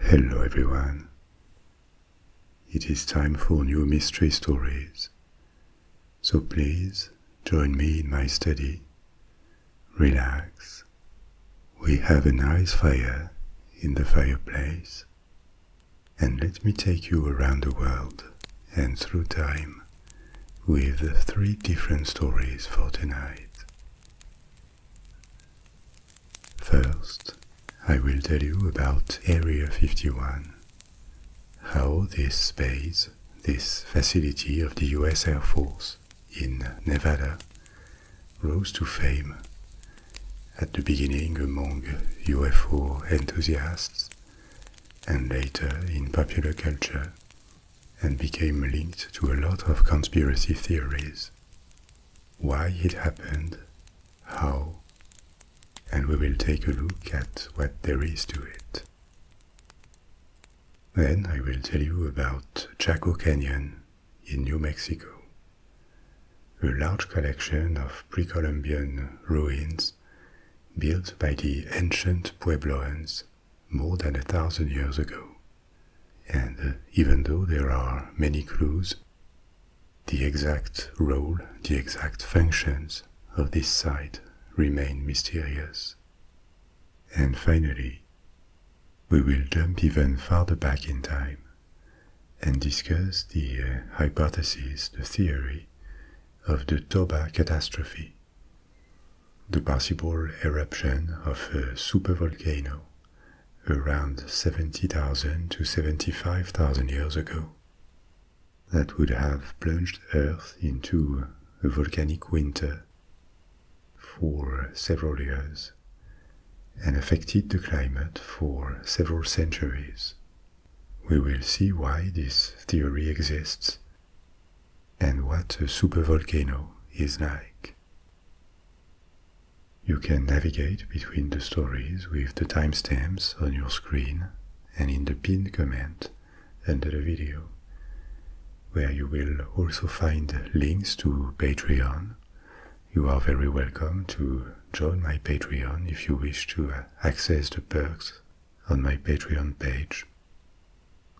Hello everyone. It is time for new mystery stories. So please join me in my study. Relax. We have a nice fire in the fireplace. And let me take you around the world and through time with three different stories for tonight. First, I will tell you about Area 51, how this base, this facility of the US Air Force in Nevada, rose to fame at the beginning among UFO enthusiasts and later in popular culture and became linked to a lot of conspiracy theories. Why it happened, how, and we will take a look at what there is to it. Then I will tell you about Chaco Canyon in New Mexico, a large collection of pre Columbian ruins built by the ancient Puebloans more than a thousand years ago. And uh, even though there are many clues, the exact role, the exact functions of this site remain mysterious. And finally, we will jump even farther back in time and discuss the uh, hypothesis, the theory of the Toba catastrophe the possible eruption of a supervolcano around 70,000 to 75,000 years ago that would have plunged Earth into a volcanic winter for several years and affected the climate for several centuries. We will see why this theory exists and what a supervolcano is like. You can navigate between the stories with the timestamps on your screen and in the pinned comment under the video, where you will also find links to Patreon. You are very welcome to join my Patreon if you wish to access the perks on my Patreon page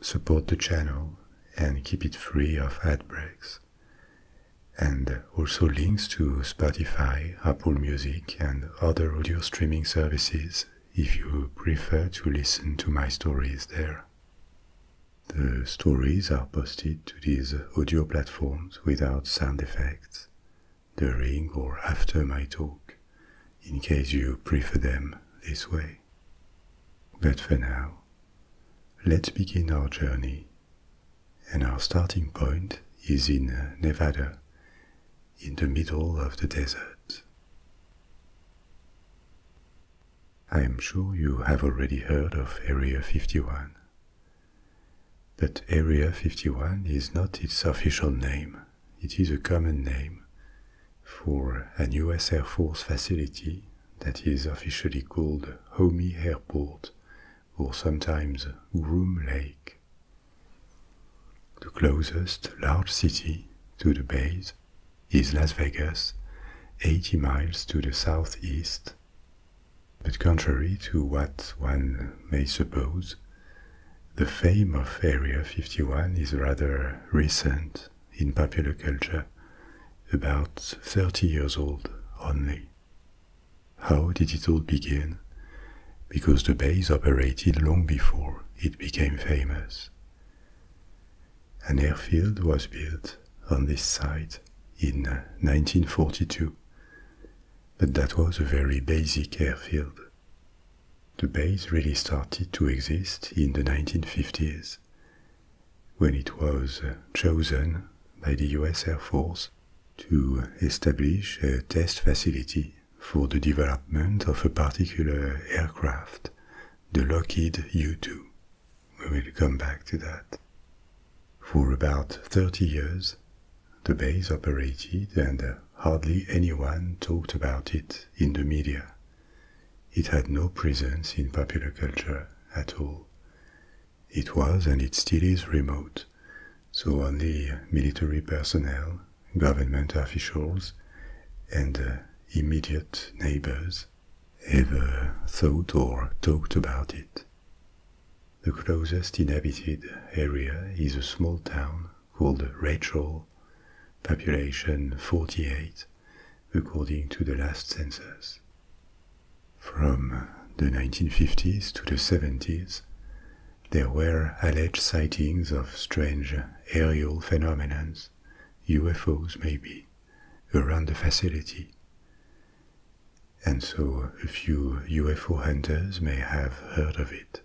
support the channel and keep it free of ad breaks, and also links to Spotify, Apple Music, and other audio streaming services if you prefer to listen to my stories there. The stories are posted to these audio platforms without sound effects, during or after my talk, in case you prefer them this way. But for now, let's begin our journey, and our starting point is in uh, Nevada, in the middle of the desert. I am sure you have already heard of Area 51. But Area 51 is not its official name, it is a common name for an US Air Force facility that is officially called Homey Airport or sometimes Groom Lake. The closest large city to the base is Las Vegas, 80 miles to the southeast. But contrary to what one may suppose, the fame of Area 51 is rather recent in popular culture, about 30 years old only. How did it all begin? Because the base operated long before it became famous. An airfield was built on this site in 1942, uh, but that was a very basic airfield. The base really started to exist in the 1950s when it was uh, chosen by the US Air Force to establish a test facility for the development of a particular aircraft, the Lockheed U-2. We will come back to that. For about 30 years, the base operated and uh, hardly anyone talked about it in the media. It had no presence in popular culture at all. It was and it still is remote, so only military personnel, government officials, and uh, immediate neighbors ever thought or talked about it. The closest inhabited area is a small town called Rachel, population 48, according to the last census. From the 1950s to the 70s, there were alleged sightings of strange aerial phenomena, UFOs maybe, around the facility. And so a few UFO hunters may have heard of it.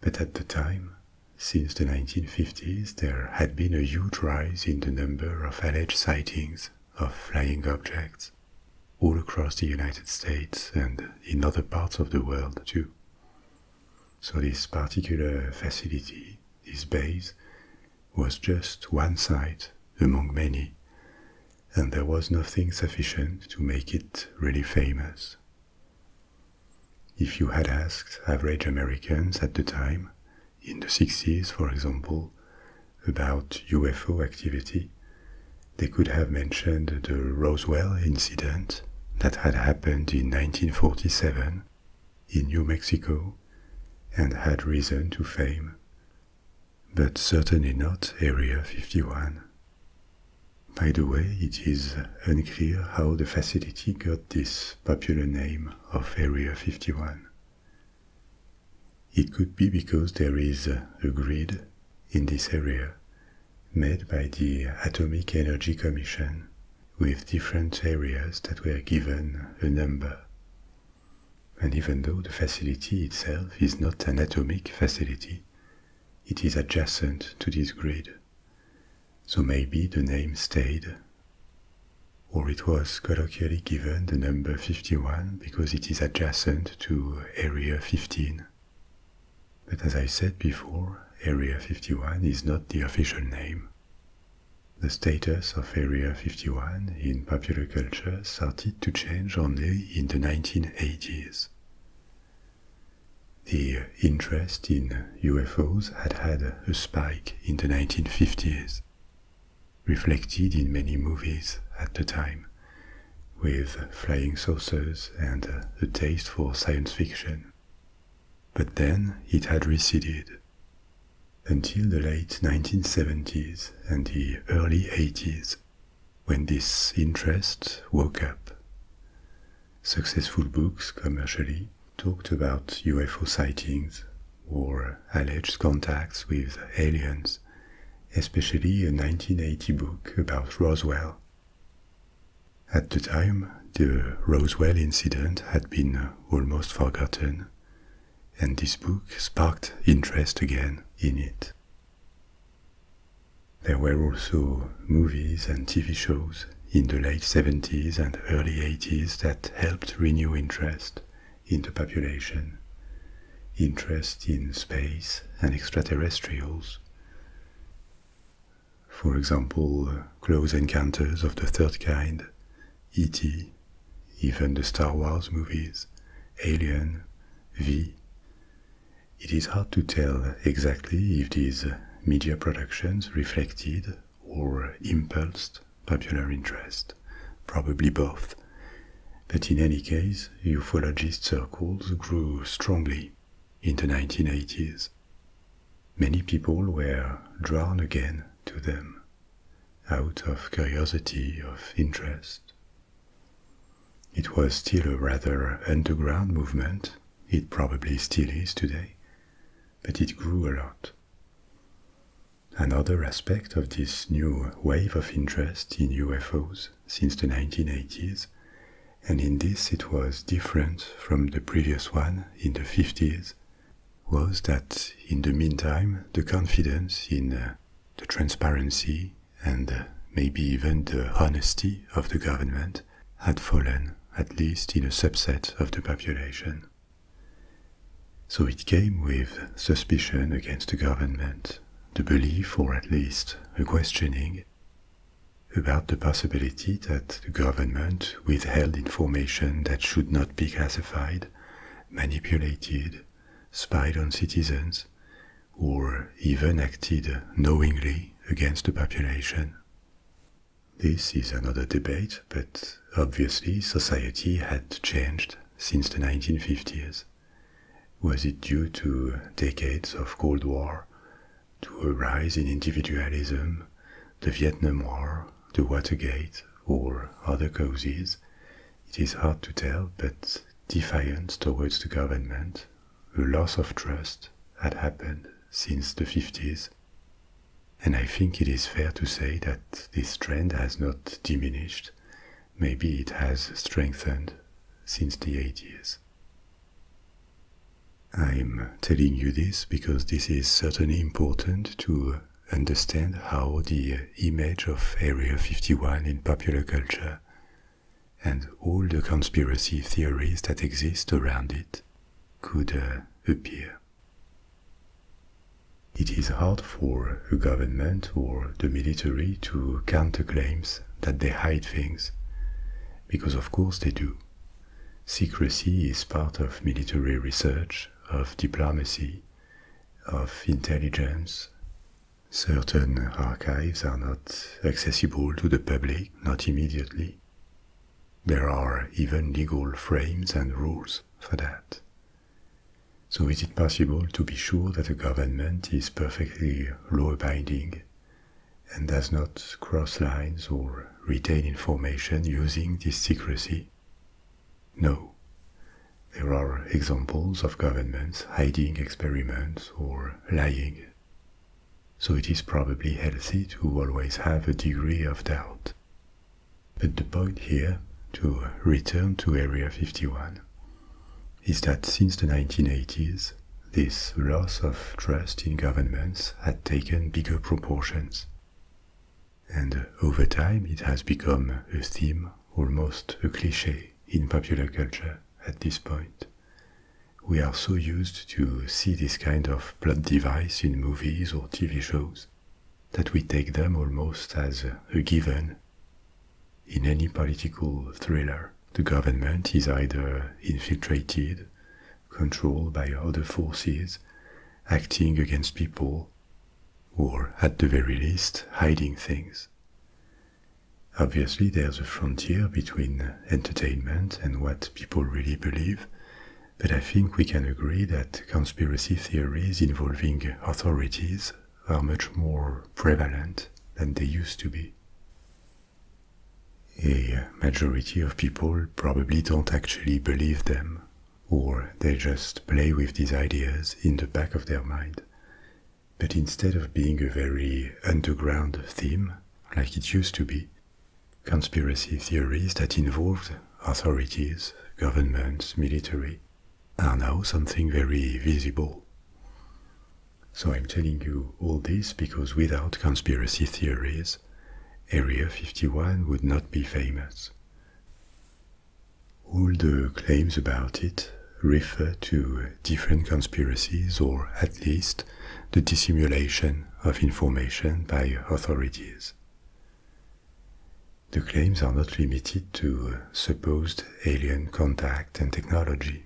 But at the time, since the 1950s, there had been a huge rise in the number of alleged sightings of flying objects all across the United States and in other parts of the world too. So this particular facility, this base, was just one site among many, and there was nothing sufficient to make it really famous. If you had asked average Americans at the time, in the 60s, for example, about UFO activity, they could have mentioned the Roswell incident that had happened in 1947 in New Mexico and had risen to fame, but certainly not Area 51. By the way, it is unclear how the facility got this popular name of Area 51. It could be because there is a grid in this area made by the Atomic Energy Commission with different areas that were given a number. And even though the facility itself is not an atomic facility, it is adjacent to this grid so maybe the name stayed. Or it was colloquially given the number 51 because it is adjacent to Area 15. But as I said before, Area 51 is not the official name. The status of Area 51 in popular culture started to change only in the 1980s. The interest in UFOs had had a spike in the 1950s, reflected in many movies at the time, with flying saucers and a taste for science fiction. But then it had receded. Until the late 1970s and the early 80s, when this interest woke up. Successful books commercially talked about UFO sightings or alleged contacts with aliens, especially a 1980 book about Roswell. At the time, the Roswell incident had been almost forgotten, and this book sparked interest again in it. There were also movies and TV shows in the late 70s and early 80s that helped renew interest in the population, interest in space and extraterrestrials. For example, uh, Close Encounters of the Third Kind, E.T., even the Star Wars movies, Alien, V. It is hard to tell exactly if these media productions reflected or impulsed popular interest, probably both. But in any case, ufologist circles grew strongly in the 1980s. Many people were drawn again to them out of curiosity, of interest. It was still a rather underground movement, it probably still is today, but it grew a lot. Another aspect of this new wave of interest in UFOs since the 1980s, and in this it was different from the previous one in the 50s, was that in the meantime the confidence in uh, the transparency and uh, maybe even the honesty of the government had fallen, at least in a subset of the population. So it came with suspicion against the government, the belief or at least the questioning about the possibility that the government withheld information that should not be classified, manipulated, spied on citizens, or even acted knowingly against the population. This is another debate, but obviously society had changed since the 1950s. Was it due to decades of Cold War, to a rise in individualism, the Vietnam War, the Watergate, or other causes? It is hard to tell, but defiance towards the government, a loss of trust had happened since the 50s and I think it is fair to say that this trend has not diminished, maybe it has strengthened since the 80s. I'm telling you this because this is certainly important to understand how the image of Area 51 in popular culture and all the conspiracy theories that exist around it could uh, appear. It is hard for a government or the military to counterclaims that they hide things, because of course they do. Secrecy is part of military research, of diplomacy, of intelligence. Certain archives are not accessible to the public, not immediately. There are even legal frames and rules for that. So is it possible to be sure that a government is perfectly law-abiding and does not cross lines or retain information using this secrecy? No. There are examples of governments hiding experiments or lying. So it is probably healthy to always have a degree of doubt, but the point here, to return to Area 51, is that since the 1980s, this loss of trust in governments had taken bigger proportions. And over time, it has become a theme, almost a cliche, in popular culture at this point. We are so used to see this kind of plot device in movies or TV shows that we take them almost as a given. In any political thriller, the government is either infiltrated, controlled by other forces, acting against people, or at the very least, hiding things. Obviously, there's a frontier between entertainment and what people really believe, but I think we can agree that conspiracy theories involving authorities are much more prevalent than they used to be. A majority of people probably don't actually believe them, or they just play with these ideas in the back of their mind. But instead of being a very underground theme, like it used to be, conspiracy theories that involved authorities, governments, military, are now something very visible. So I'm telling you all this because without conspiracy theories, Area 51 would not be famous. All the claims about it refer to different conspiracies or at least the dissimulation of information by authorities the claims are not limited to uh, supposed alien contact and technology,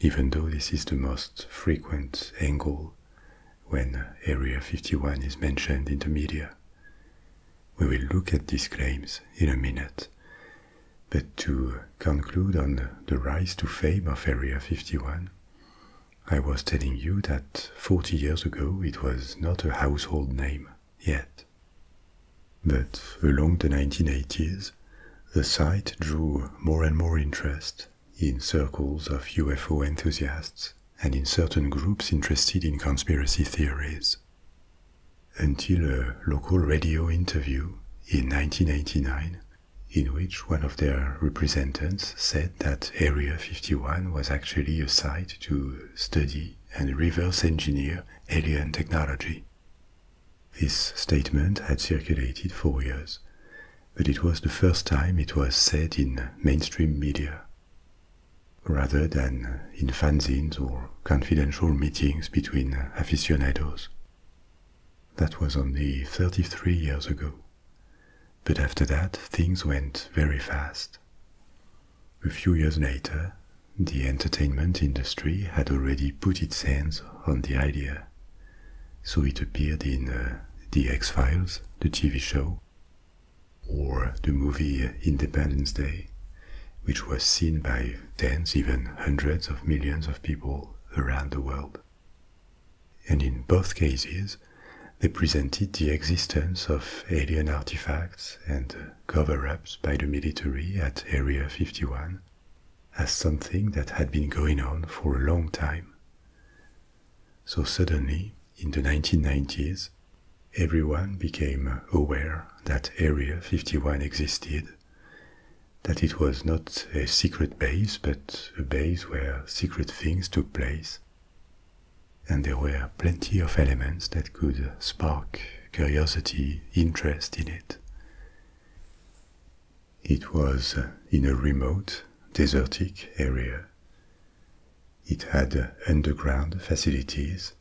even though this is the most frequent angle when Area 51 is mentioned in the media. We will look at these claims in a minute. But to uh, conclude on the rise to fame of Area 51, I was telling you that 40 years ago it was not a household name yet. But along the 1980s, the site drew more and more interest in circles of UFO enthusiasts and in certain groups interested in conspiracy theories. Until a local radio interview in 1989, in which one of their representatives said that Area 51 was actually a site to study and reverse engineer alien technology. This statement had circulated for years, but it was the first time it was said in mainstream media. Rather than in fanzines or confidential meetings between aficionados. That was only 33 years ago. But after that, things went very fast. A few years later, the entertainment industry had already put its hands on the idea, so it appeared in uh, The X Files, the TV show, or the movie Independence Day, which was seen by tens, even hundreds of millions of people around the world. And in both cases, they presented the existence of alien artifacts and cover ups by the military at Area 51 as something that had been going on for a long time. So suddenly, in the 1990s, everyone became aware that Area 51 existed, that it was not a secret base but a base where secret things took place, and there were plenty of elements that could spark curiosity, interest in it. It was in a remote, desertic area. It had underground facilities.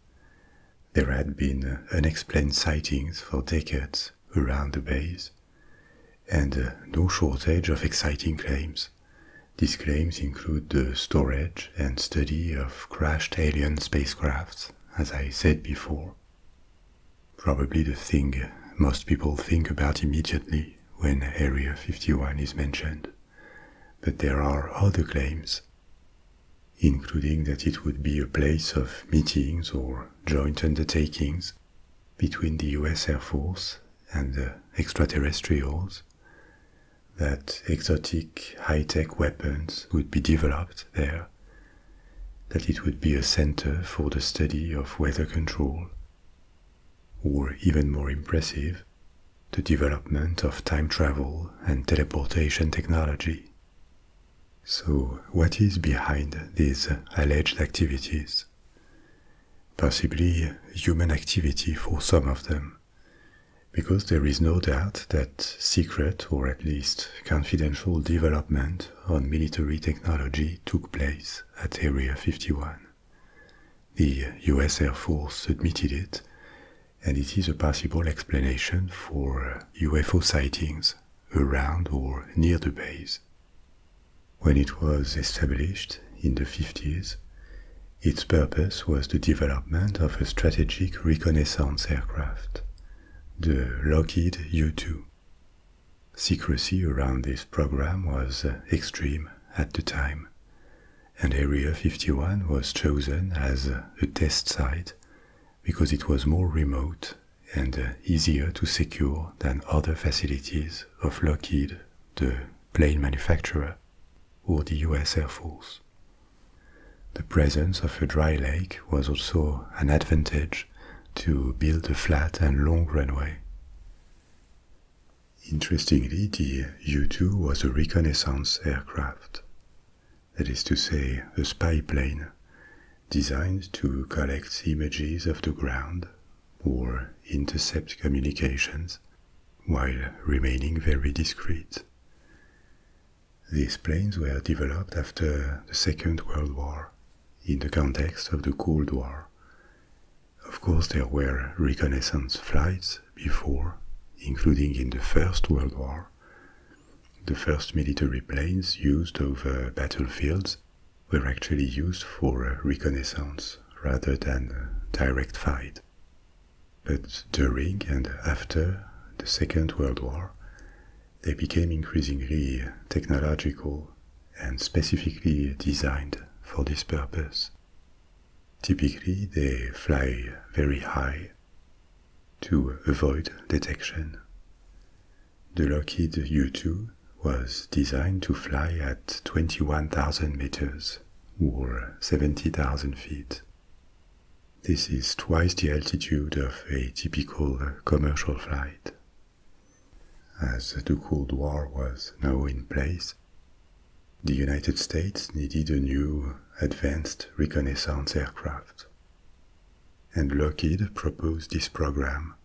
There had been unexplained sightings for decades around the base, and no shortage of exciting claims. These claims include the storage and study of crashed alien spacecrafts, as I said before. Probably the thing most people think about immediately when Area 51 is mentioned, but there are other claims, including that it would be a place of meetings or joint undertakings between the US Air Force and the extraterrestrials, that exotic high-tech weapons would be developed there, that it would be a center for the study of weather control, or even more impressive, the development of time travel and teleportation technology. So, what is behind these alleged activities? Possibly human activity for some of them because there is no doubt that secret or at least confidential development on military technology took place at Area 51. The US Air Force admitted it, and it is a possible explanation for UFO sightings around or near the base. When it was established in the 50s, its purpose was the development of a strategic reconnaissance aircraft, the Lockheed U-2. Secrecy around this program was extreme at the time, and Area 51 was chosen as a test site because it was more remote and easier to secure than other facilities of Lockheed, the plane manufacturer, or the US Air Force. The presence of a dry lake was also an advantage to build a flat and long runway. Interestingly, the U-2 was a reconnaissance aircraft, that is to say, a spy plane designed to collect images of the ground or intercept communications while remaining very discreet. These planes were developed after the Second World War in the context of the Cold War. Of course, there were reconnaissance flights before, including in the First World War. The first military planes used over battlefields were actually used for reconnaissance rather than direct fight. But during and after the Second World War, they became increasingly technological and specifically designed for this purpose. Typically, they fly very high to avoid detection. The Lockheed U-2 was designed to fly at 21,000 meters or 70,000 feet. This is twice the altitude of a typical commercial flight. As the Cold War was now in place, the United States needed a new advanced reconnaissance aircraft. And Lockheed proposed this program,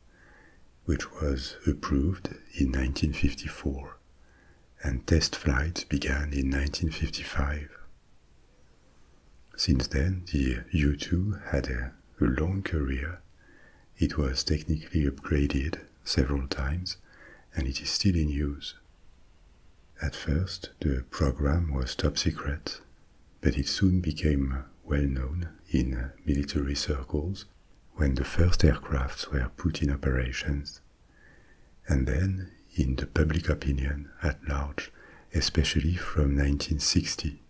which was approved in 1954 and test flights began in 1955. Since then, the U-2 had a, long career. It was technically upgraded several times, and it is still in use. At first, the program was top secret, but it soon became well known in military circles when the first aircrafts were put in operations and then in the public opinion at large, especially from 1960,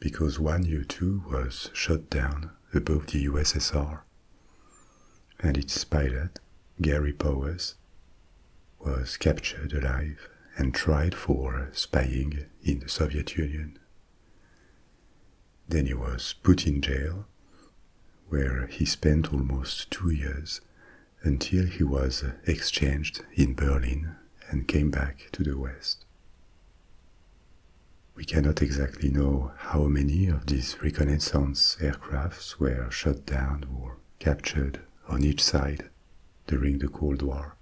because one U 2 was shot down above the USSR, and its pilot, Gary Powers, was captured alive and tried for spying in the Soviet Union. Then he was put in jail where he spent almost two years until he was exchanged in Berlin and came back to the West. We cannot exactly know how many of these reconnaissance aircrafts were shot down or captured on each side during the Cold War.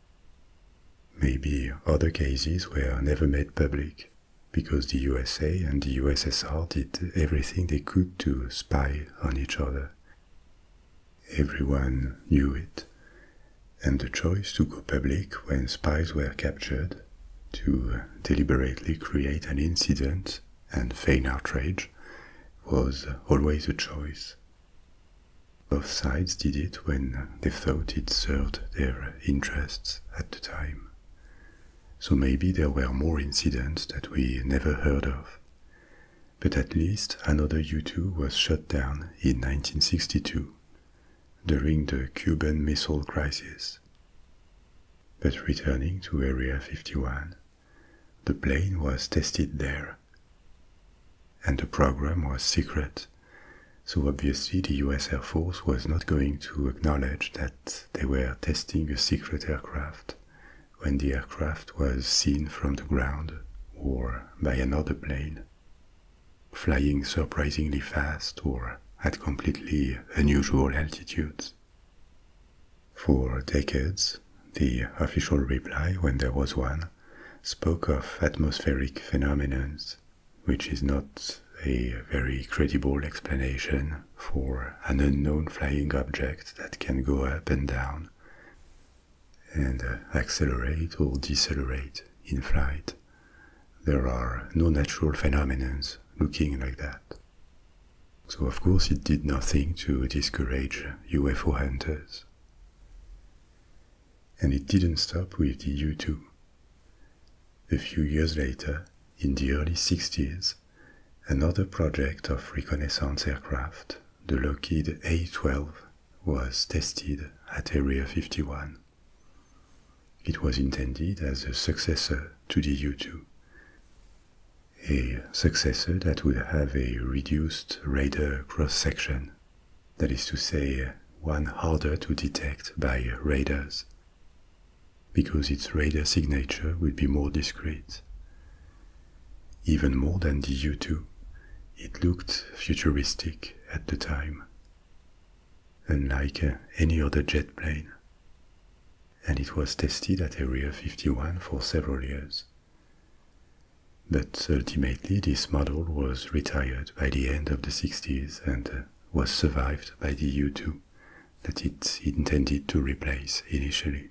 Maybe other cases were never made public because the USA and the USSR did everything they could to spy on each other. Everyone knew it, and the choice to go public when spies were captured, to deliberately create an incident and feign outrage, was always a choice. Both sides did it when they thought it served their interests at the time. So maybe there were more incidents that we never heard of but at least another U-2 was shut down in 1962 during the Cuban Missile Crisis. But returning to Area 51, the plane was tested there. And the program was secret, so obviously the US Air Force was not going to acknowledge that they were testing a secret aircraft when the aircraft was seen from the ground or by another plane, flying surprisingly fast or at completely unusual altitudes. For decades, the official reply, when there was one, spoke of atmospheric phenomena, which is not a very credible explanation for an unknown flying object that can go up and down and uh, accelerate or decelerate in flight. There are no natural phenomena looking like that. So, of course, it did nothing to discourage UFO hunters. And it didn't stop with the U 2. A few years later, in the early 60s, another project of reconnaissance aircraft, the Lockheed A-12, was tested at Area 51. It was intended as a successor to the U-2, a successor that would have a reduced radar cross-section, that is to say, one harder to detect by radars, because its radar signature would be more discreet. Even more than the U2, it looked futuristic at the time, unlike uh, any other jet plane. And it was tested at Area 51 for several years. But ultimately, this model was retired by the end of the 60s and uh, was survived by the U2 that it intended to replace initially.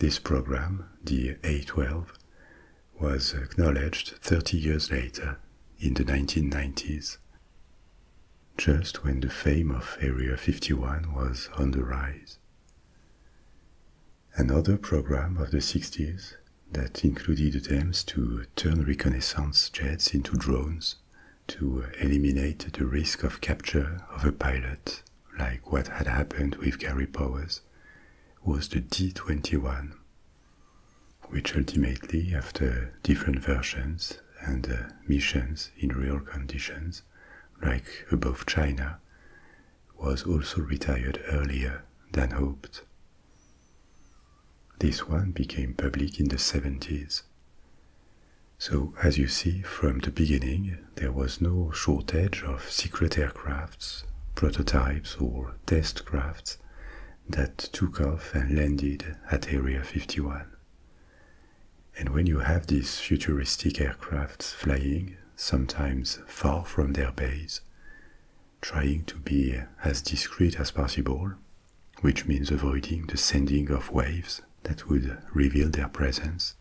This program, the A12, was acknowledged 30 years later in the 1990s, just when the fame of Area 51 was on the rise. Another program of the 60s that included attempts to turn reconnaissance jets into drones to eliminate the risk of capture of a pilot, like what had happened with Gary Powers, was the D-21, which ultimately, after different versions and uh, missions in real conditions, like above China, was also retired earlier than hoped. This one became public in the 70s. So, as you see, from the beginning, there was no shortage of secret aircrafts, prototypes, or test crafts that took off and landed at Area 51. And when you have these futuristic aircrafts flying, sometimes far from their base, trying to be as discreet as possible, which means avoiding the sending of waves that would reveal their presence,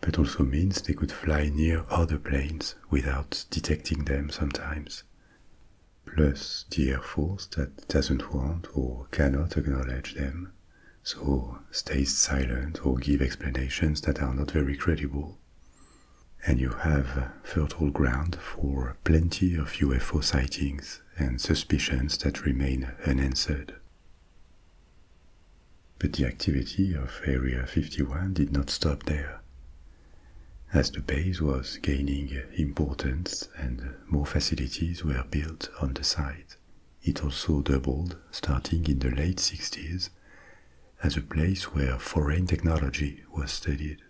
but also means they could fly near other planes without detecting them sometimes. Plus, the Air Force that doesn't want or cannot acknowledge them, so stays silent or give explanations that are not very credible. And you have fertile ground for plenty of UFO sightings and suspicions that remain unanswered. But the activity of Area 51 did not stop there. As the base was gaining importance and more facilities were built on the site, it also doubled starting in the late 60s as a place where foreign technology was studied.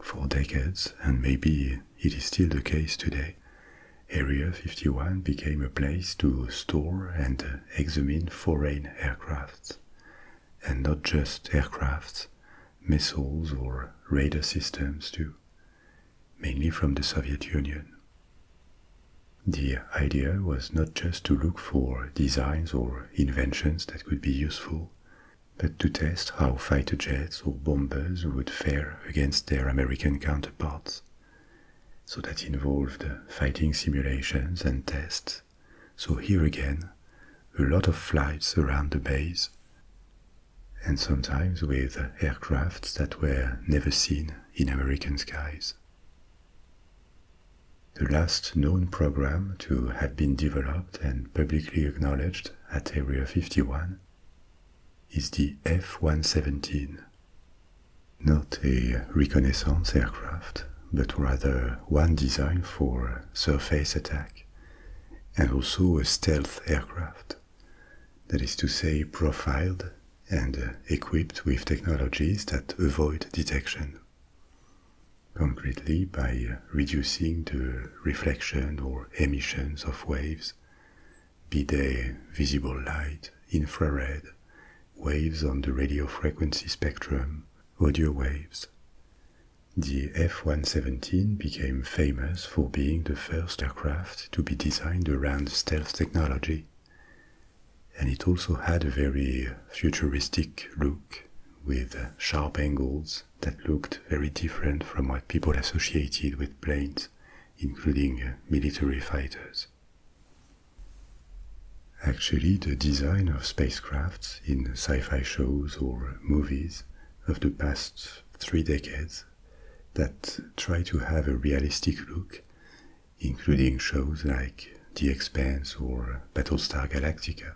For decades, and maybe it is still the case today, Area 51 became a place to store and examine foreign aircrafts, and not just aircrafts, missiles or radar systems too, mainly from the Soviet Union. The idea was not just to look for designs or inventions that could be useful, but to test how fighter jets or bombers would fare against their American counterparts, so that involved fighting simulations and tests. So here again, a lot of flights around the base, and sometimes with aircrafts that were never seen in American skies. The last known program to have been developed and publicly acknowledged at Area 51 is the F 117, not a reconnaissance aircraft, but rather one designed for surface attack, and also a stealth aircraft, that is to say, profiled and equipped with technologies that avoid detection, concretely by reducing the reflection or emissions of waves be day visible light, infrared, waves on the radio frequency spectrum, audio waves. The F-117 became famous for being the first aircraft to be designed around stealth technology. And it also had a very futuristic look with sharp angles that looked very different from what people associated with planes, including military fighters. Actually, the design of spacecrafts in sci fi shows or movies of the past three decades that try to have a realistic look, including shows like The Expanse or Battlestar Galactica,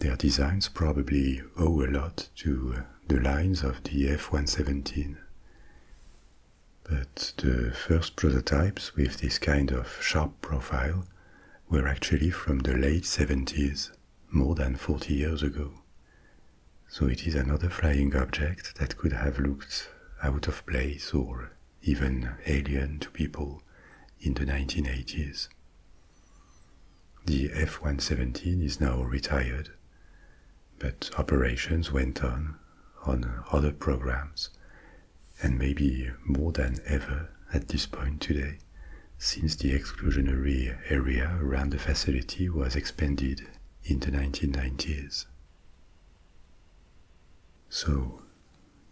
their designs probably owe a lot to the lines of the F 117. But the first prototypes with this kind of sharp profile were actually from the late 70s, more than 40 years ago. So it is another flying object that could have looked out of place or even alien to people in the 1980s. The F 117 is now retired, but operations went on on other programs, and maybe more than ever at this point today, since the exclusionary area around the facility was expanded in the 1990s. So,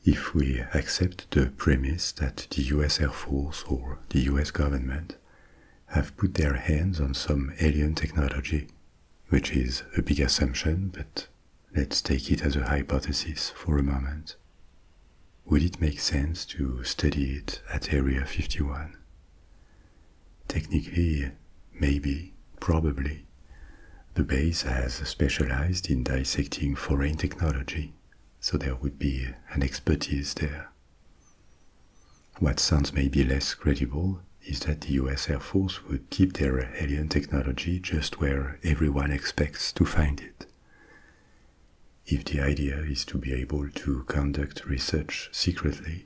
if we accept the premise that the US Air Force or the US government have put their hands on some alien technology which is a big assumption, but let's take it as a hypothesis for a moment. Would it make sense to study it at Area 51? Technically, maybe, probably. The base has specialized in dissecting foreign technology, so there would be an expertise there. What sounds maybe less credible is that the US Air Force would keep their alien technology just where everyone expects to find it. If the idea is to be able to conduct research secretly,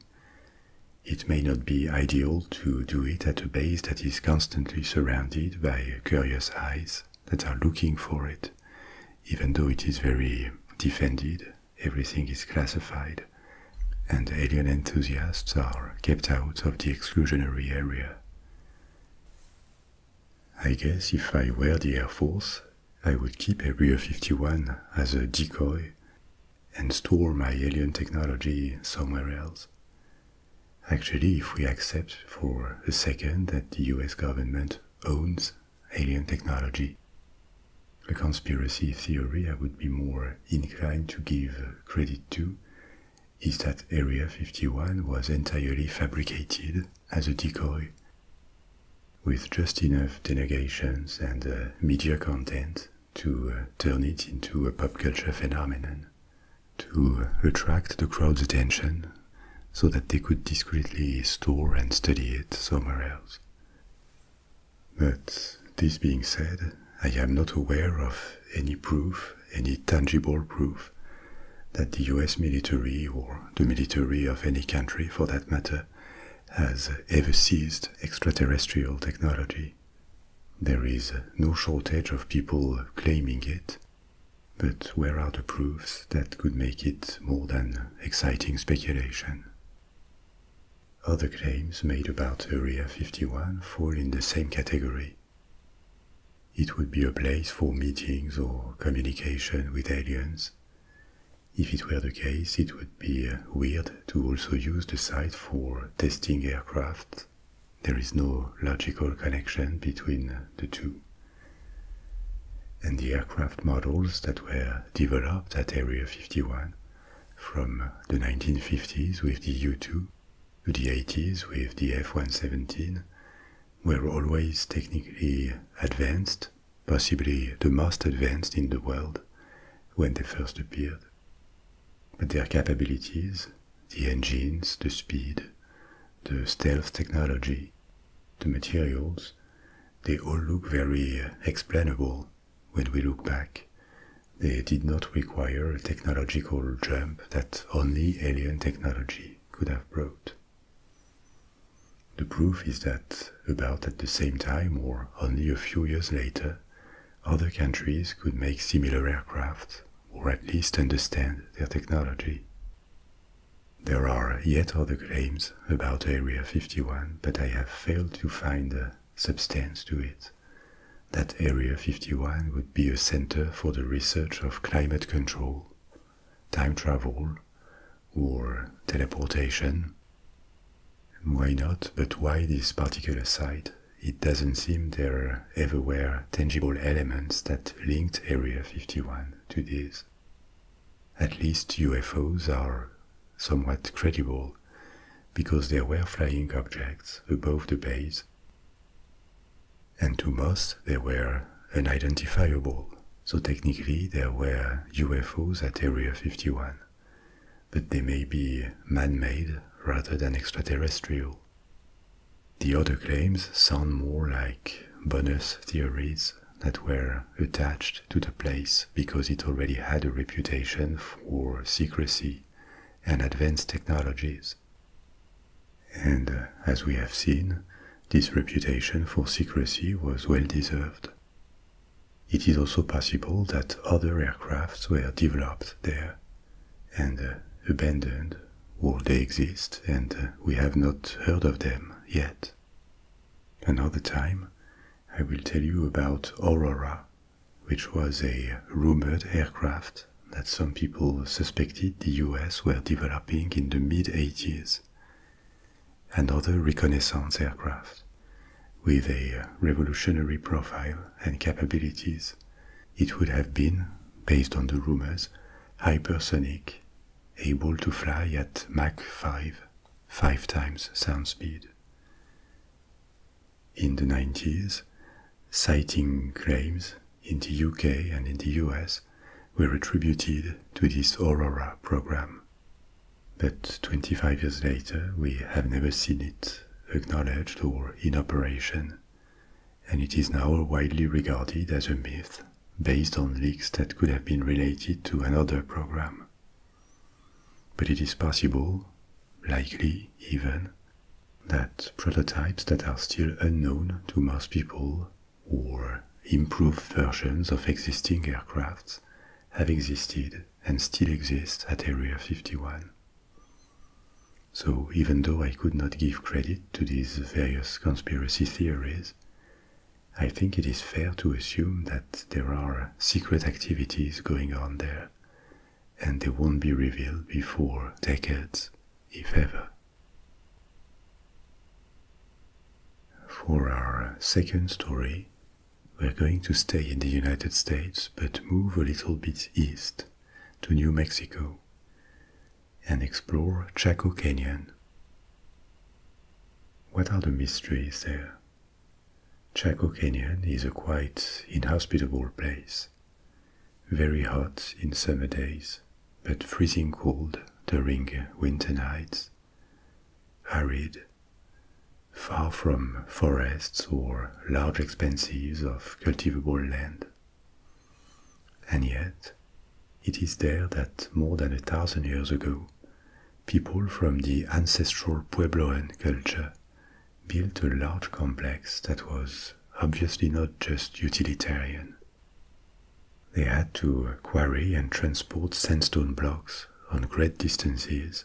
it may not be ideal to do it at a base that is constantly surrounded by curious eyes that are looking for it, even though it is very defended, everything is classified, and alien enthusiasts are kept out of the exclusionary area. I guess if I were the Air Force, I would keep Area 51 as a decoy and store my alien technology somewhere else. Actually, if we accept for a second that the US government owns alien technology, a conspiracy theory I would be more inclined to give credit to is that Area 51 was entirely fabricated as a decoy, with just enough denegations and uh, media content to uh, turn it into a pop culture phenomenon, to uh, attract the crowd's attention so that they could discreetly store and study it somewhere else. But this being said, I am not aware of any proof, any tangible proof, that the US military or the military of any country for that matter has ever seized extraterrestrial technology. There is no shortage of people claiming it, but where are the proofs that could make it more than exciting speculation? Other claims made about Area 51 fall in the same category. It would be a place for meetings or communication with aliens. If it were the case, it would be uh, weird to also use the site for testing aircraft. There is no logical connection between uh, the two. And the aircraft models that were developed at Area 51 from the 1950s with the U2 to the 80s with the F117 were always technically advanced, possibly the most advanced in the world when they first appeared. But their capabilities, the engines, the speed, the stealth technology, the materials, they all look very uh, explainable when we look back, they did not require a technological jump that only alien technology could have brought. The proof is that about at the same time or only a few years later, other countries could make similar aircraft or at least understand their technology. There are yet other claims about Area 51 but I have failed to find substance to it, that Area 51 would be a center for the research of climate control, time travel, or teleportation. Why not? But why this particular site? It doesn't seem there are everywhere tangible elements that linked Area 51 to this. At least UFOs are somewhat credible because there were flying objects above the base. And to most, they were unidentifiable, so technically there were UFOs at Area 51, but they may be man-made rather than extraterrestrial. The other claims sound more like bonus theories that were attached to the place because it already had a reputation for secrecy and advanced technologies. And uh, as we have seen, this reputation for secrecy was well deserved. It is also possible that other aircrafts were developed there and uh, abandoned, or they exist and uh, we have not heard of them yet. Another time, I will tell you about Aurora which was a rumored aircraft that some people suspected the US were developing in the mid 80s. and other reconnaissance aircraft with a revolutionary profile and capabilities. It would have been, based on the rumors, hypersonic, able to fly at Mach 5, five times sound speed. In the 90s, sighting claims in the UK and in the US were attributed to this Aurora program. But 25 years later, we have never seen it acknowledged or in operation, and it is now widely regarded as a myth based on leaks that could have been related to another program. But it is possible likely even, that prototypes that are still unknown to most people or improved versions of existing aircrafts have existed and still exist at Area 51. So even though I could not give credit to these various conspiracy theories, I think it is fair to assume that there are secret activities going on there and they won't be revealed before decades, if ever. For our second story, we're going to stay in the United States but move a little bit east to New Mexico and explore Chaco Canyon. What are the mysteries there? Chaco Canyon is a quite inhospitable place very hot in summer days, but freezing cold during winter nights, arid, far from forests or large expanses of cultivable land. And yet, it is there that more than a thousand years ago, people from the ancestral Puebloan culture built a large complex that was obviously not just utilitarian. They had to quarry and transport sandstone blocks on great distances.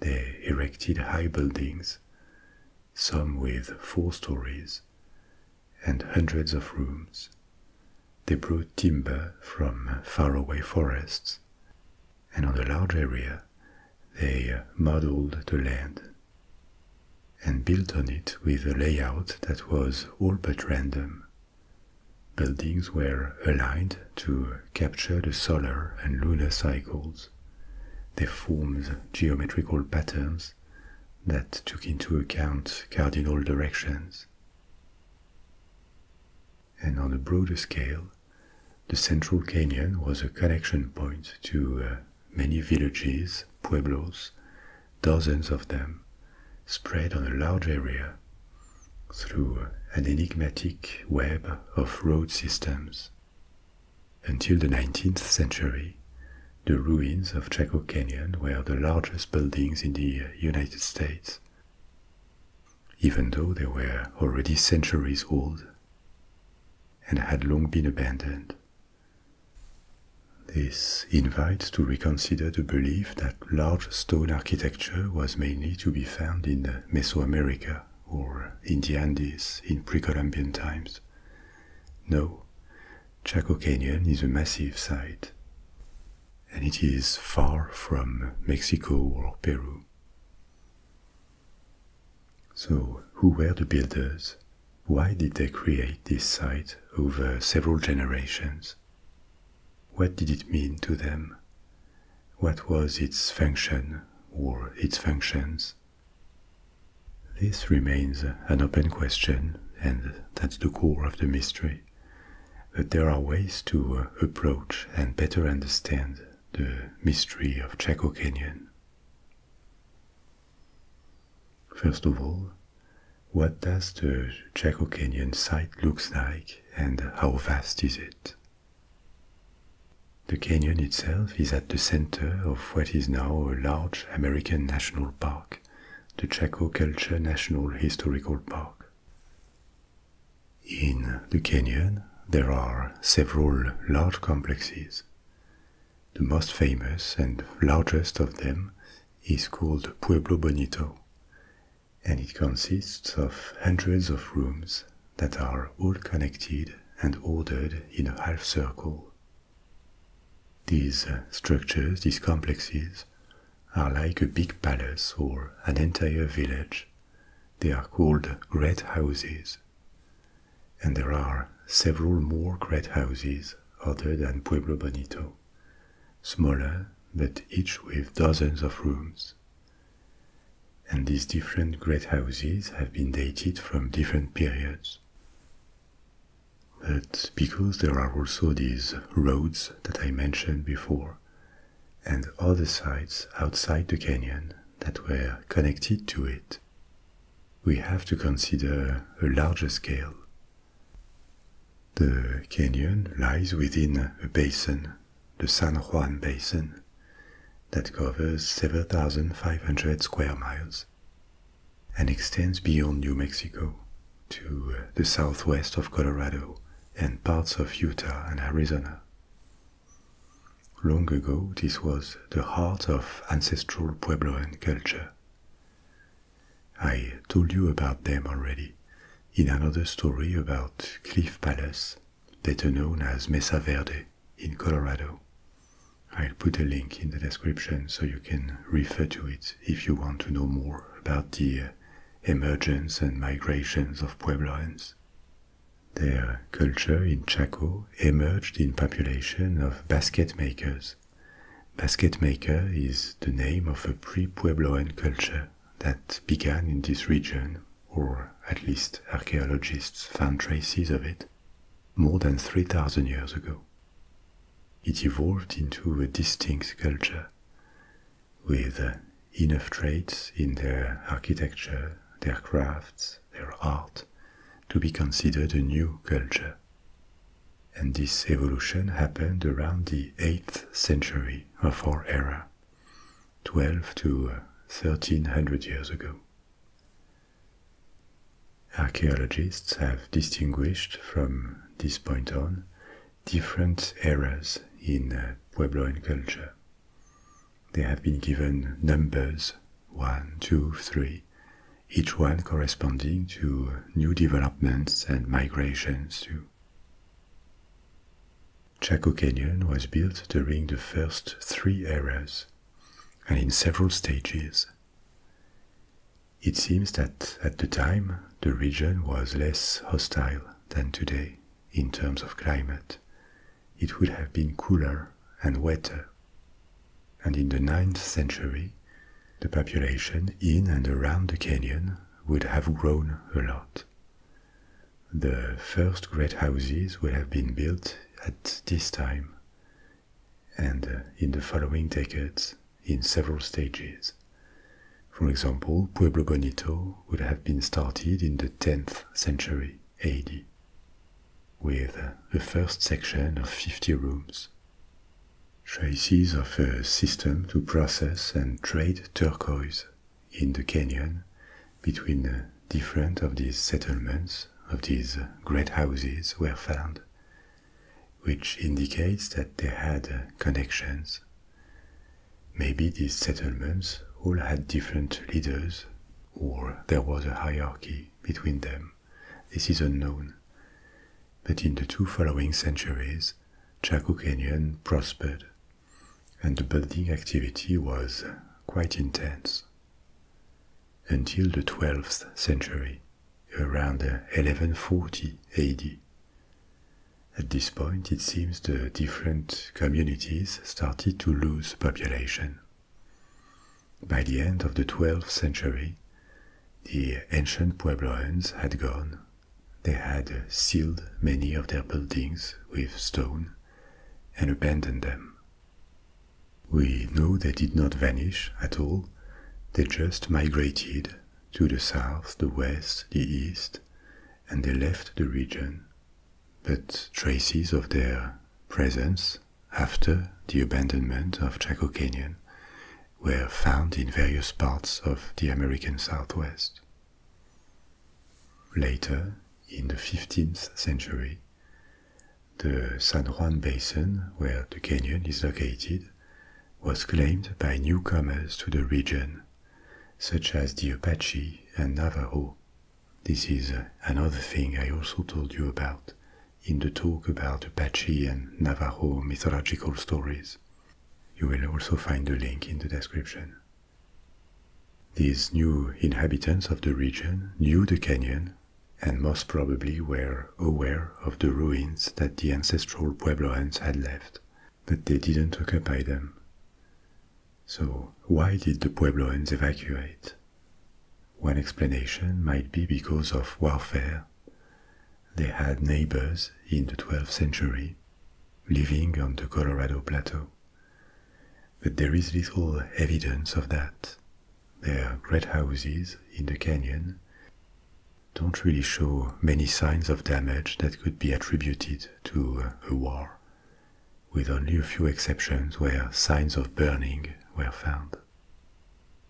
They erected high buildings, some with four stories, and hundreds of rooms. They brought timber from faraway forests and on a large area they uh, modeled the land and built on it with a layout that was all but random. Buildings were aligned to capture the solar and lunar cycles. They formed geometrical patterns that took into account cardinal directions. And on a broader scale, the central canyon was a connection point to uh, many villages, pueblos, dozens of them, spread on a large area through an enigmatic web of road systems. Until the 19th century, the ruins of Chaco Canyon were the largest buildings in the uh, United States, even though they were already centuries old and had long been abandoned. This invites to reconsider the belief that large stone architecture was mainly to be found in Mesoamerica or in the Andes in pre-Columbian times. No, Chaco Canyon is a massive site, and it is far from Mexico or Peru. So, who were the builders? Why did they create this site over several generations? What did it mean to them? What was its function or its functions? This remains an open question, and that's the core of the mystery. But there are ways to uh, approach and better understand the mystery of Chaco Canyon. First of all, what does the Chaco Canyon site looks like and how vast is it? The canyon itself is at the center of what is now a large American national park, the Chaco Culture National Historical Park. In the canyon, there are several large complexes. The most famous and largest of them is called Pueblo Bonito, and it consists of hundreds of rooms that are all connected and ordered in a half circle. These uh, structures, these complexes, are like a big palace or an entire village. They are called great houses and there are several more great houses other than Pueblo Bonito, smaller but each with dozens of rooms. And these different great houses have been dated from different periods. But because there are also these roads that I mentioned before, and other sites outside the canyon that were connected to it, we have to consider a larger scale. The canyon lies within a basin, the San Juan Basin, that covers 7,500 square miles and extends beyond New Mexico to uh, the southwest of Colorado and parts of Utah and Arizona. Long ago, this was the heart of ancestral Puebloan culture. I told you about them already in another story about Cliff Palace, better known as Mesa Verde in Colorado. I'll put a link in the description so you can refer to it if you want to know more about the emergence and migrations of Puebloans. Their culture in Chaco emerged in population of basket makers. Basket maker is the name of a pre-Puebloan culture that began in this region, or at least archaeologists found traces of it, more than 3,000 years ago. It evolved into a distinct culture, with enough traits in their architecture, their crafts, their art, to be considered a new culture. And this evolution happened around the 8th century of our era, 12 to 1300 uh, years ago. Archaeologists have distinguished from this point on different eras in uh, Puebloan culture. They have been given numbers 1, 2, 3, each one corresponding to new developments and migrations too. Chaco Canyon was built during the first three eras and in several stages. It seems that at the time the region was less hostile than today in terms of climate, it would have been cooler and wetter. And in the ninth century, the population in and around the canyon would have grown a lot. The first great houses would have been built at this time and uh, in the following decades in several stages. For example, Pueblo Bonito would have been started in the 10th century. AD, with the first section of 50 rooms. Traces of a system to process and trade turquoise in the canyon between different of these settlements of these great houses were found, which indicates that they had connections. Maybe these settlements all had different leaders, or there was a hierarchy between them, this is unknown. But in the two following centuries, Chaco Canyon prospered, and the building activity was quite intense. Until the 12th century, around 1140 AD. At this point, it seems the different communities started to lose population. By the end of the 12th century, the ancient pueblos had gone. They had sealed many of their buildings with stone and abandoned them. We know they did not vanish at all, they just migrated to the south, the west, the east, and they left the region. But traces of their presence after the abandonment of Chaco Canyon were found in various parts of the American Southwest. Later, in the 15th century, the San Juan Basin, where the canyon is located, was claimed by newcomers to the region, such as the Apache and Navajo, this is uh, another thing I also told you about in the talk about Apache and Navajo mythological stories. You will also find the link in the description. These new inhabitants of the region knew the canyon and most probably were aware of the ruins that the ancestral Puebloans had left, but they didn't occupy them. So, why did the Puebloans evacuate? One explanation might be because of warfare. They had neighbors in the 12th century living on the Colorado Plateau. But there is little evidence of that. Their great houses in the canyon don't really show many signs of damage that could be attributed to a war with only a few exceptions where signs of burning were found.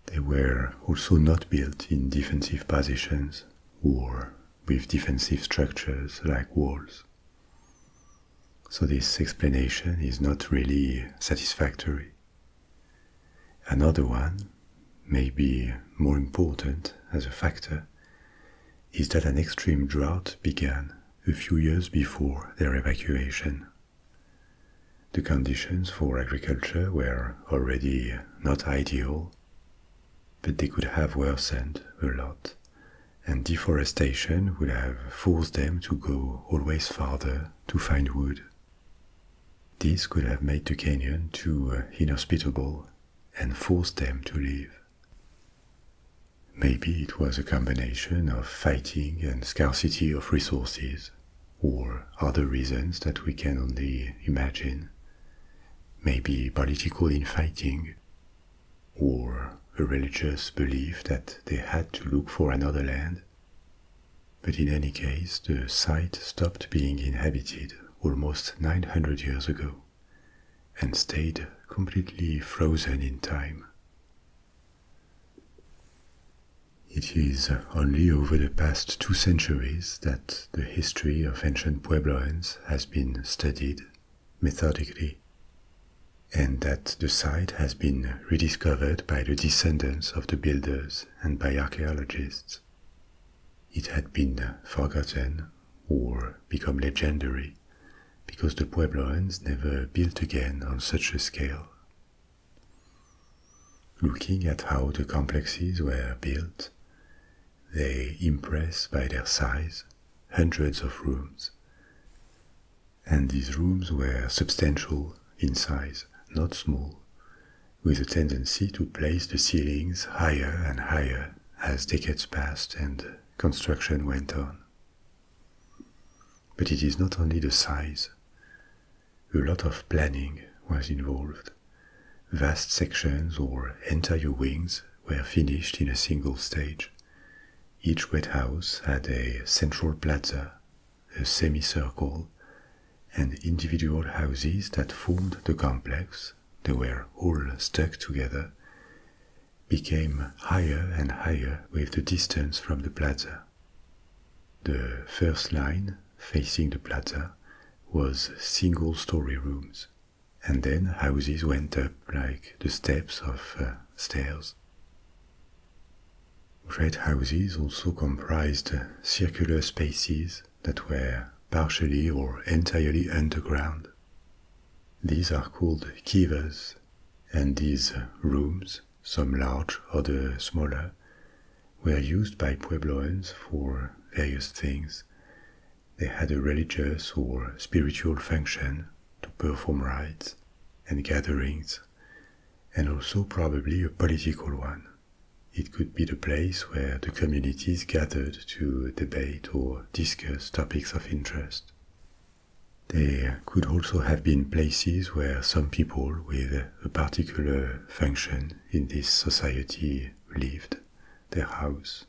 They were also not built in defensive positions or with defensive structures like walls. So this explanation is not really satisfactory. Another one, maybe more important as a factor, is that an extreme drought began a few years before their evacuation the conditions for agriculture were already not ideal, but they could have worsened a lot, and deforestation would have forced them to go always farther to find wood. This could have made the canyon too inhospitable and forced them to leave. Maybe it was a combination of fighting and scarcity of resources, or other reasons that we can only imagine. Maybe political infighting, or a religious belief that they had to look for another land. But in any case, the site stopped being inhabited almost 900 years ago and stayed completely frozen in time. It is only over the past two centuries that the history of ancient pueblos has been studied methodically, and that the site has been rediscovered by the descendants of the builders and by archaeologists. It had been forgotten or become legendary because the pueblos never built again on such a scale Looking at how the complexes were built, they impress by their size hundreds of rooms. And these rooms were substantial in size, not small, with a tendency to place the ceilings higher and higher as decades passed and construction went on. But it is not only the size. A lot of planning was involved. Vast sections or entire wings were finished in a single stage. Each wet house had a central plaza, a semicircle, and individual houses that formed the complex, they were all stuck together, became higher and higher with the distance from the plaza. The first line, facing the plaza, was single story rooms, and then houses went up like the steps of uh, stairs. Great houses also comprised circular spaces that were partially or entirely underground. These are called kivas and these rooms, some large, others smaller, were used by Puebloans for various things. They had a religious or spiritual function to perform rites and gatherings, and also probably a political one. It could be the place where the communities gathered to debate or discuss topics of interest. There could also have been places where some people with a particular function in this society lived, their house.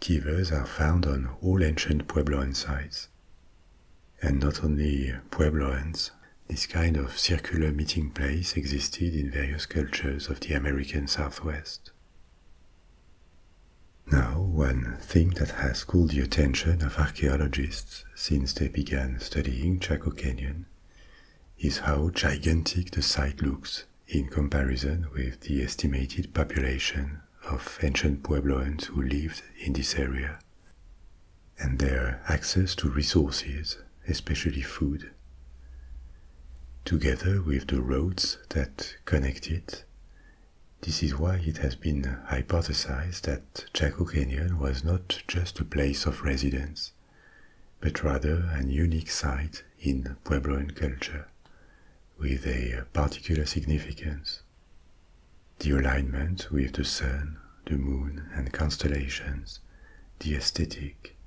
Kivas are found on all ancient Puebloan sites. And not only pueblos, this kind of circular meeting place existed in various cultures of the American Southwest. Now, one thing that has called the attention of archaeologists since they began studying Chaco Canyon is how gigantic the site looks in comparison with the estimated population of ancient Puebloans who lived in this area. And their access to resources, especially food. Together with the roads that connect it, this is why it has been hypothesized that Chaco Canyon was not just a place of residence, but rather an unique site in Puebloan culture, with a particular significance. The alignment with the sun, the moon, and constellations, the aesthetic,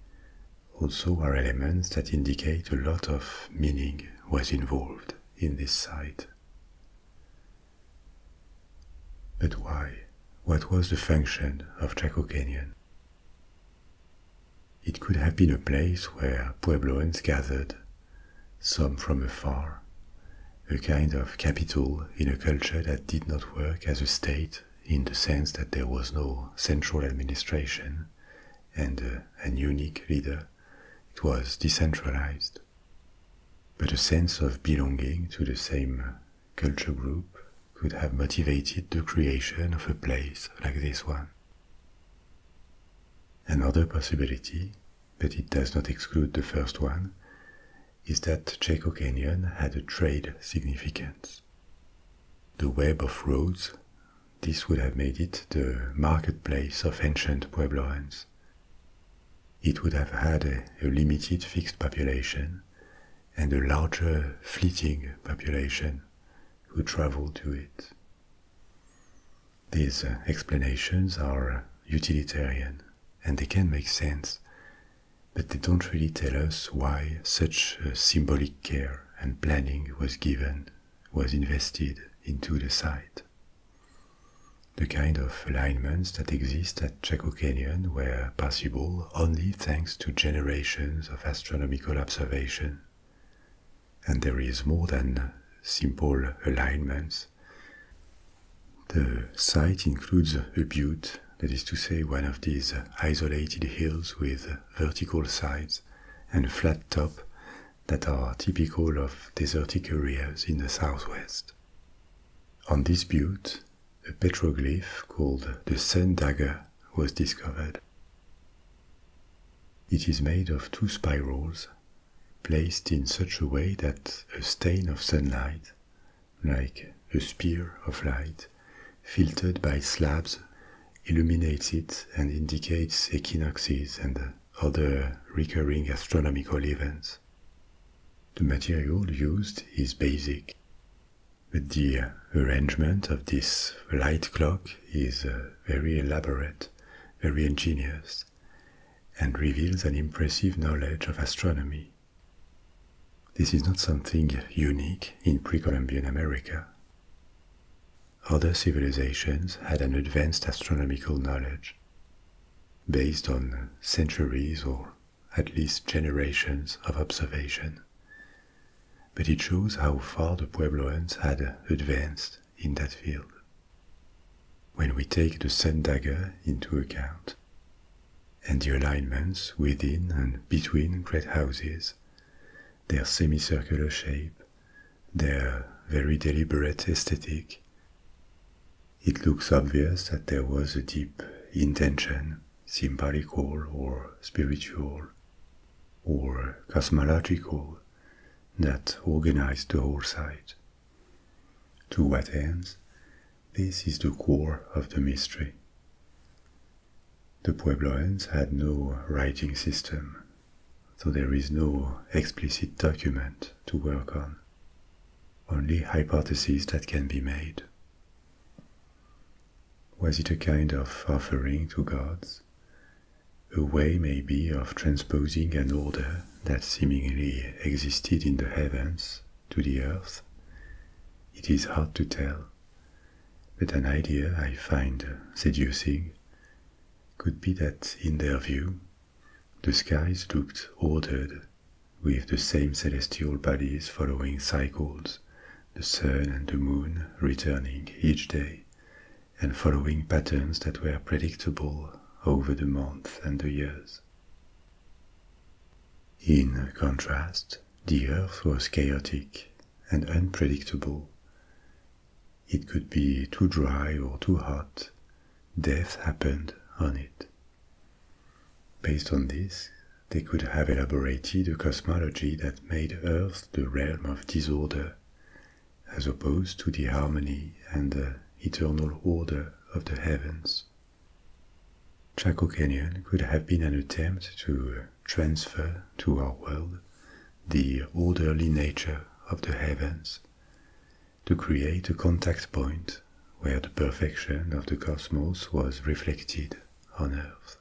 also are elements that indicate a lot of meaning was involved in this site. But why? What was the function of Chaco Canyon? It could have been a place where Puebloans gathered, some from afar, a kind of capital in a culture that did not work as a state in the sense that there was no central administration and uh, an unique leader. It was decentralized. But a sense of belonging to the same culture group could have motivated the creation of a place like this one. Another possibility, but it does not exclude the first one, is that Chaco Canyon had a trade significance. The web of roads, this would have made it the marketplace of ancient Puebloans it would have had a, limited fixed population and a larger fleeting population who travelled to it. These uh, explanations are uh, utilitarian and they can make sense, but they don't really tell us why such uh, symbolic care and planning was given, was invested into the site. The kind of alignments that exist at Chaco Canyon were possible only thanks to generations of astronomical observation. And there is more than simple alignments. The site includes a butte, that is to say, one of these isolated hills with vertical sides and flat top that are typical of desertic areas in the southwest. On this butte, a petroglyph called the Sun Dagger was discovered. It is made of two spirals placed in such a way that a stain of sunlight, like a spear of light, filtered by slabs, illuminates it and indicates equinoxes and other recurring astronomical events. The material used is basic, but the arrangement of this light clock is uh, very elaborate, very ingenious, and reveals an impressive knowledge of astronomy. This is not something unique in pre Columbian America. Other civilizations had an advanced astronomical knowledge, based on centuries or at least generations of observation. But it shows how far the Puebloans had advanced in that field. When we take the sun dagger into account, and the alignments within and between great houses, their semicircular shape, their very deliberate aesthetic, it looks obvious that there was a deep intention, symbolical or spiritual or cosmological, that organized the whole site. To what ends? This is the core of the mystery. The Puebloans had no writing system, so there is no explicit document to work on. Only hypotheses that can be made. Was it a kind of offering to gods? A way, maybe, of transposing an order that seemingly existed in the heavens to the earth? It is hard to tell, but an idea I find seducing could be that, in their view, the skies looked ordered, with the same celestial bodies following cycles, the sun and the moon returning each day, and following patterns that were predictable over the months and the years. In contrast, the earth was chaotic and unpredictable. It could be too dry or too hot. Death happened on it. Based on this, they could have elaborated a cosmology that made Earth the realm of disorder, as opposed to the harmony and eternal order of the heavens. Chaco Canyon could have been an attempt to transfer to our world the orderly nature of the heavens, to create a contact point where the perfection of the cosmos was reflected on Earth,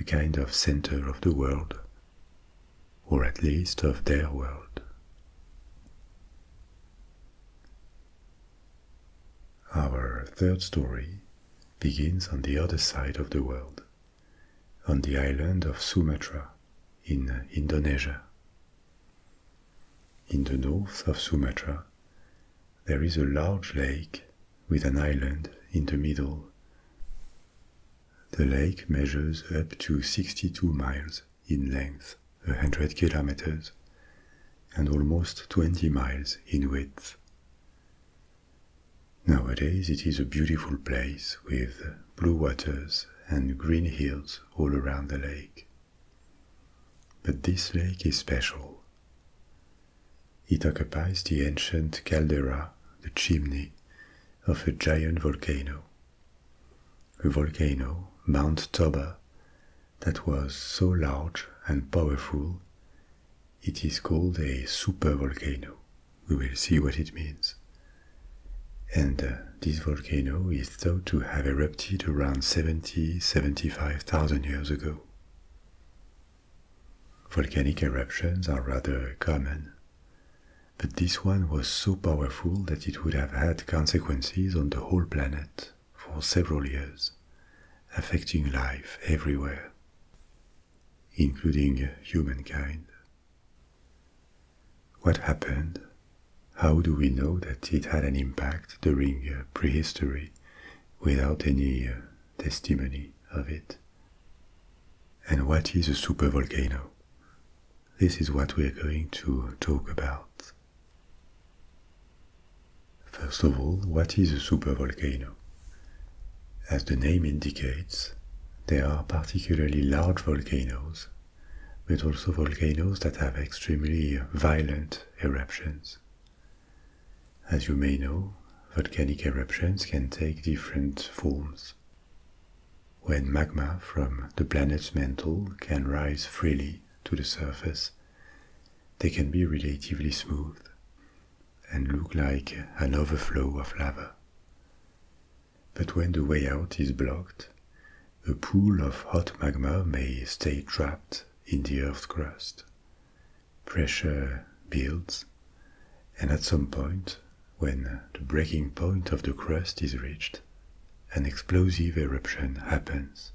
a kind of center of the world, or at least of their world. Our third story begins on the other side of the world, on the island of Sumatra in Indonesia, in the north of Sumatra, there is a large lake with an island in the middle. The lake measures up to 62 miles in length, a 100 kilometers, and almost 20 miles in width. Nowadays, it is a beautiful place with blue waters and green hills all around the lake. But this lake is special. It occupies the ancient caldera, the chimney, of a giant volcano. A volcano, Mount Toba, that was so large and powerful, it is called a super volcano. We will see what it means. And uh, this volcano is thought to have erupted around 70-75,000 years ago. Volcanic eruptions are rather common, but this one was so powerful that it would have had consequences on the whole planet for several years, affecting life everywhere, including humankind. What happened how do we know that it had an impact during uh, prehistory without any uh, testimony of it? And what is a supervolcano? This is what we are going to talk about. First of all, what is a supervolcano? As the name indicates, they are particularly large volcanoes but also volcanoes that have extremely violent eruptions. As you may know, volcanic eruptions can take different forms. When magma from the planet's mantle can rise freely to the surface, they can be relatively smooth and look like an overflow of lava. But when the way out is blocked, a pool of hot magma may stay trapped in the Earth's crust. Pressure builds, and at some point, when the breaking point of the crust is reached, an explosive eruption happens.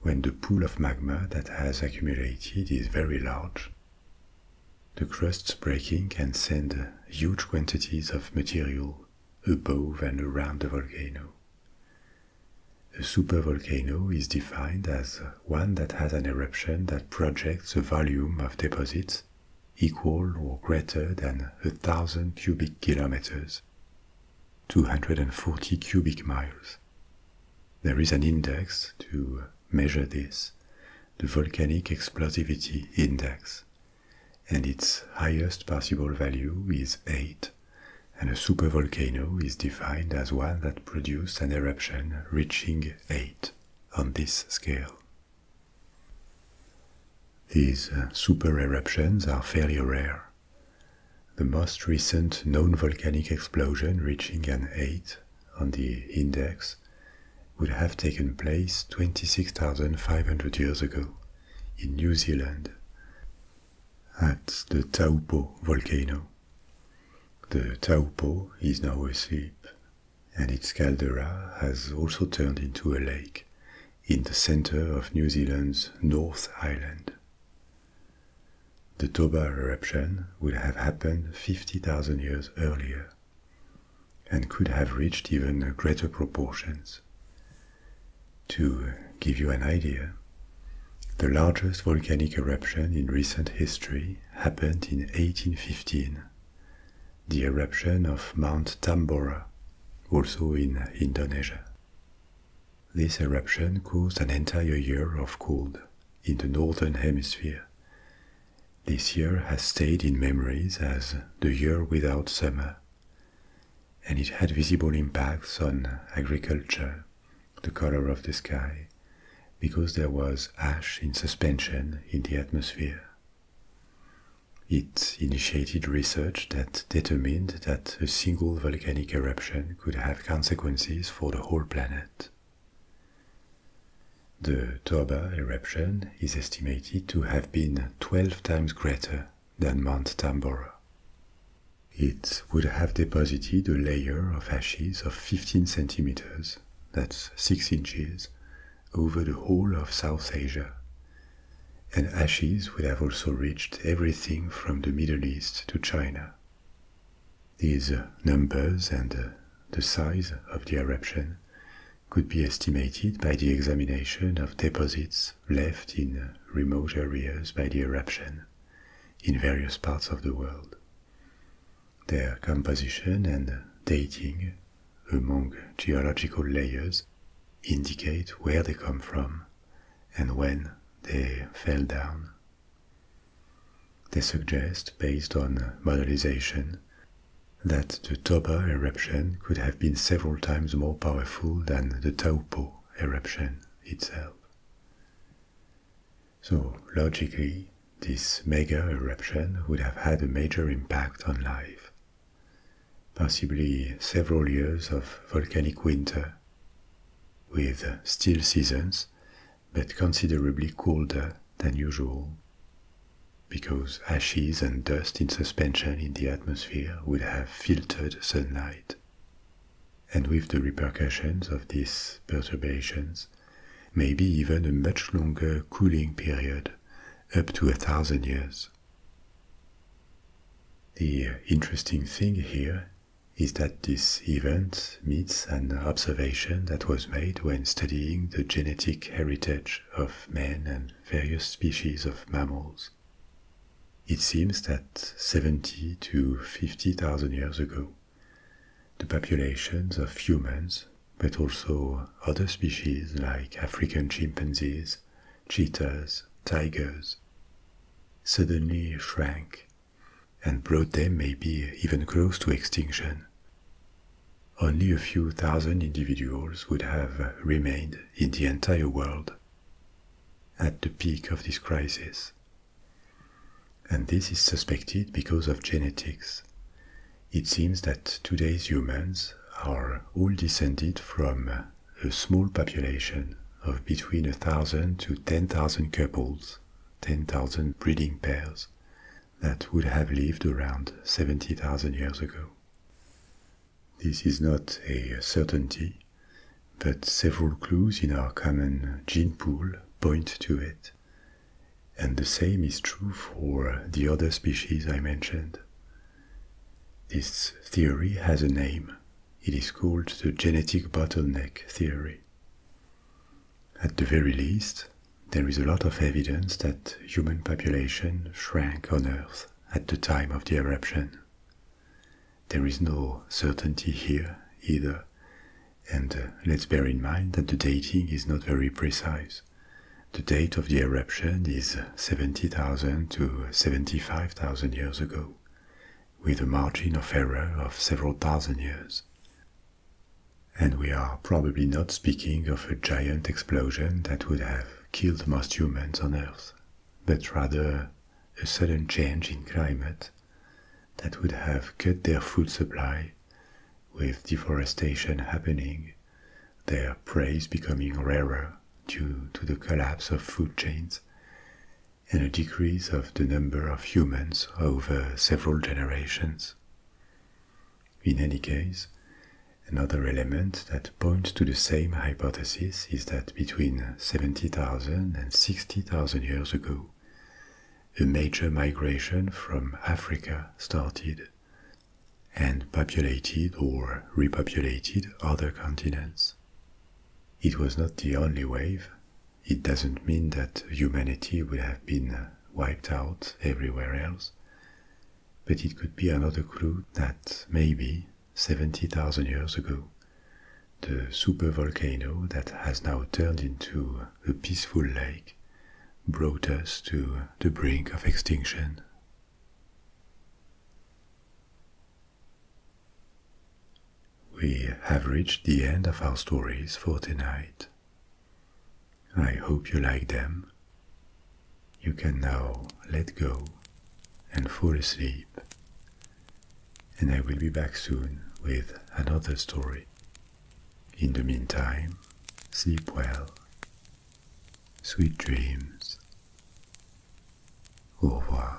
When the pool of magma that has accumulated is very large, the crust's breaking can send huge quantities of material above and around the volcano. A supervolcano is defined as one that has an eruption that projects a volume of deposits equal or greater than a thousand cubic kilometers, 240 cubic miles. There is an index to measure this, the Volcanic Explosivity Index, and its highest possible value is 8, and a supervolcano is defined as one that produced an eruption reaching 8 on this scale. These uh, super eruptions are fairly rare. The most recent known volcanic explosion reaching an 8 on the index would have taken place 26,500 years ago in New Zealand at the Taupo volcano. The Taupo is now asleep, and its caldera has also turned into a lake in the center of New Zealand's North Island. The Toba eruption would have happened 50,000 years earlier and could have reached even greater proportions. To give you an idea, the largest volcanic eruption in recent history happened in 1815, the eruption of Mount Tambora, also in Indonesia. This eruption caused an entire year of cold in the northern hemisphere. This year has stayed in memories as the year without summer and it had visible impacts on agriculture, the color of the sky, because there was ash in suspension in the atmosphere. It initiated research that determined that a single volcanic eruption could have consequences for the whole planet. The Toba eruption is estimated to have been 12 times greater than Mount Tambora. It would have deposited a layer of ashes of 15 centimeters, that's 6 inches, over the whole of South Asia. And ashes would have also reached everything from the Middle East to China. These uh, numbers and uh, the size of the eruption could be estimated by the examination of deposits left in remote areas by the eruption in various parts of the world. Their composition and dating among geological layers indicate where they come from and when they fell down. They suggest, based on modelization, that the Toba eruption could have been several times more powerful than the Taupo eruption itself. So, logically, this mega eruption would have had a major impact on life, possibly several years of volcanic winter, with still seasons, but considerably colder than usual, because ashes and dust in suspension in the air atmosphere would have filtered sunlight. And with the repercussions of these perturbations, maybe even a much longer cooling period, up to a thousand years. The interesting thing here is that this event meets an observation that was made when studying the genetic heritage of man and various species of mammals. It seems that 70 to 50,000 years ago, the populations of humans, but also other species like African chimpanzees, cheetahs, tigers, suddenly shrank and brought them maybe even close to extinction. Only a few thousand individuals would have remained in the entire world at the peak of this crisis. And this is suspected because of genetics. It seems that today's humans are all descended from a small population of between 1,000 to 10,000 couples, 10,000 breeding pairs, that would have lived around 70,000 years ago. This is not a certainty, but several clues in our common gene pool point to it. And the same is true for the other species I mentioned. This theory has a name. It is called the genetic bottleneck theory. At the very least, there is a lot of evidence that human population shrank on Earth at the time of the eruption. There is no certainty here either, and uh, let's bear in mind that the dating is not very precise. The date of the eruption is uh, 70,000 to 75,000 years ago, with a margin of error of several thousand years. And we are probably not speaking of a giant explosion that would have killed most humans on Earth but rather a sudden change in climate that would have cut their food supply, with deforestation happening, their prey becoming rarer due to the collapse of food chains, and a decrease of the number of humans over several generations. In any case, another element that Point to the same hypothesis is that between 70,000 and 60,000 years ago, a major migration from Africa started and populated or repopulated other continents. It was not the only wave. It doesn't mean that humanity would have been wiped out everywhere else, but it could be another clue that maybe 70,000 years ago, the supervolcano that has now turned into a peaceful lake brought us to the brink of extinction. We have reached the end of our stories for tonight. I hope you like them. You can now let go and fall asleep. And I will be back soon with another story. In the meantime, sleep well. Sweet dreams. Au revoir.